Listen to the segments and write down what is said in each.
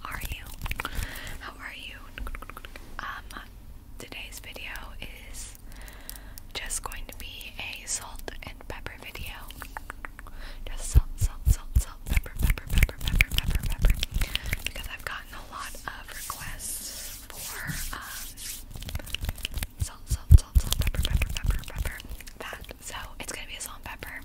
How are you? How are you? Um, today's video is just going to be a salt and pepper video. Just salt, salt, salt, salt, pepper, pepper, pepper, pepper, pepper, pepper. Because I've gotten a lot of requests for um salt, salt, salt, salt, pepper, pepper, pepper, pepper. That so it's gonna be a salt and pepper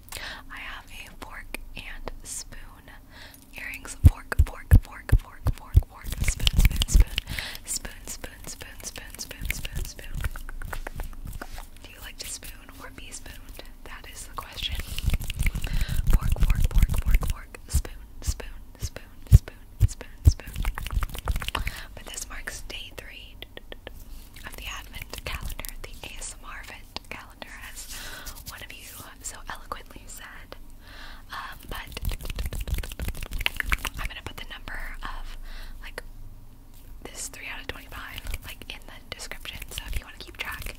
I have a fork and spoon. Earrings, fork, fork, fork, fork, fork, fork, spoon, spoon, spoon, spoon, spoon, spoon, spoon, spoon, spoon, spoon. Do you like to spoon or be spooned? That is the question. Fork, fork, fork, fork, fork, spoon, spoon, spoon, spoon, spoon, spoon. But this marks day three of the Advent calendar, the ASMR Advent calendar, as one of you so eloquently said. Um, but I'm gonna put the number of like this 3 out of 25 like in the description, so if you want to keep track.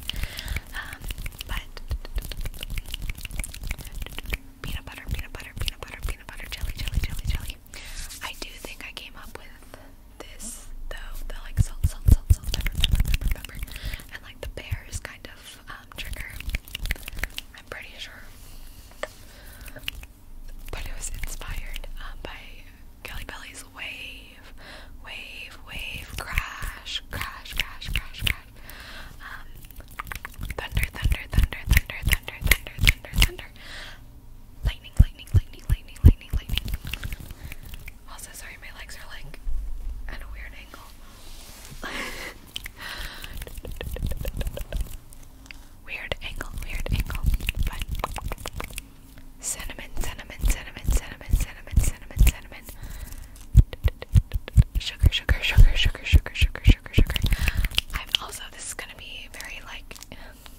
Um, but peanut butter, peanut butter, peanut butter, peanut butter, jelly, jelly, jelly, jelly. I do think I came up with this though, the like salt, salt, salt, salt, pepper, pepper, pepper, and like the pear is kind of um, trigger. I'm pretty sure, but it was inspired um, by Kelly Belly's wave, wave, wave, crash, crash, crash, crash, crash. Um, thunder, thunder, thunder, thunder, thunder, thunder, thunder, thunder. Lightning, lightning, lightning, lightning, lightning, lightning. Also, sorry, my legs are like at a weird angle. weird angle, weird angle. But cinnamon, cinnamon, cinnamon, cinnamon, cinnamon, cinnamon, cinnamon. Sugar, sugar, sugar, sugar, sugar, sugar, sugar, sugar. I'm also this is gonna be very like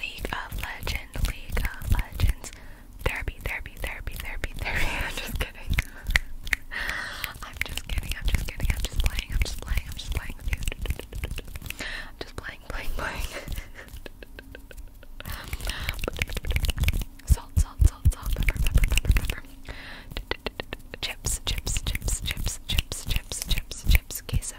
League of Legends, League of Legends, Therapy, Therapy, Therapy, Therapy, Therapy. I'm just kidding. I'm just kidding. I'm just kidding. I'm just playing. I'm just playing. I'm just playing with you. I'm just playing, playing, playing. salt, salt, salt, salt, pepper, pepper, pepper, pepper. Chips, chips, chips, chips, chips, chips, chips, chips, queso,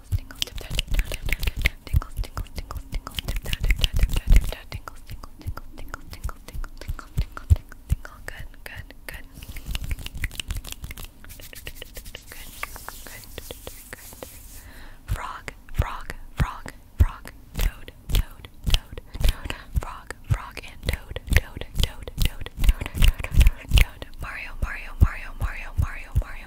tingles, tingles, tip that, tip that, tip that, tip that, tingles, tingles, tingles, tingles, tip that, tip that, tip that, tip that, tingles, tingles, tingles, tingles, tingles, tingles, tingles, tingles, tingles, tingle. Good, good, good. Good, good, good. Frog, frog, frog, frog, toad, toad, toad, toad, frog, frog, and toad, toad, toad, toad, toad, toad, toad, toad. Mario, Mario, Mario, Mario, Mario, Mario.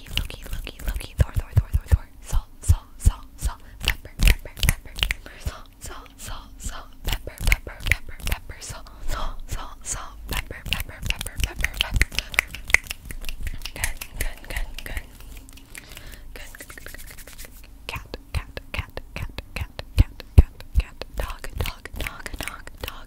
Loki, Loki, Loki, Loki, Thor, Thor, Thor, Thor, Thor, Salt, Salt, Salt, Salt, Pepper, Pepper, Pepper, Pepper, Salt, Salt, Salt, Salt, Pepper, Pepper, Pepper, Pepper, Salt, Salt, Salt, Salt, Pepper, Pepper, Pepper, Pepper, Pepper. Good, good, good, good. Good, good, good, good, good. Cat, cat, cat, cat, cat, cat, cat, cat, dog, dog, dog, dog, dog.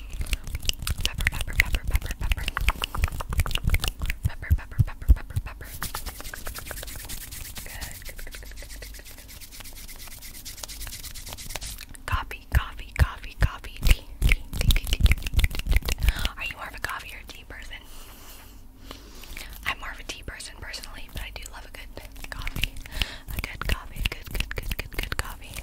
Pepper, pepper, pepper, pepper, pepper. Pepper, pepper, pepper, pepper, pepper. Good, good, good, good, good, good, good. Coffee, coffee, coffee, coffee, tea, tea, tea, tea, tea, tea. Are you more of a coffee or a tea person? I'm more of a tea person personally, but I do love a good coffee. A good coffee, a good, good, good, good, good coffee.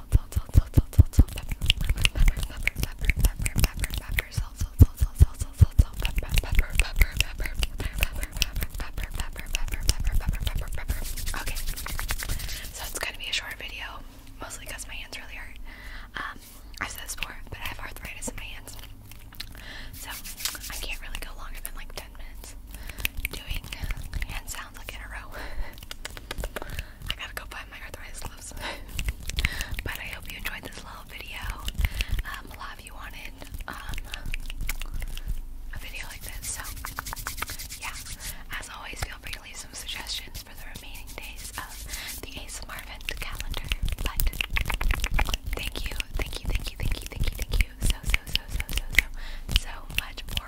Okay, so it's gonna be a short video, mostly because my hands really hurt. Um, I've said this before, but I have arthritis in my hands, so I can't really go longer than like ten minutes doing hand sounds like in a row. I gotta go find my arthritis gloves. but I hope you enjoyed this little video. Um, a lot you wanted um, a video like this, so yeah. As always, feel free to leave some suggestions for the remaining days of the ASMR event calendar. thank you, thank you, thank you, thank you, thank you, thank you so, so, so, so, so, so, so much for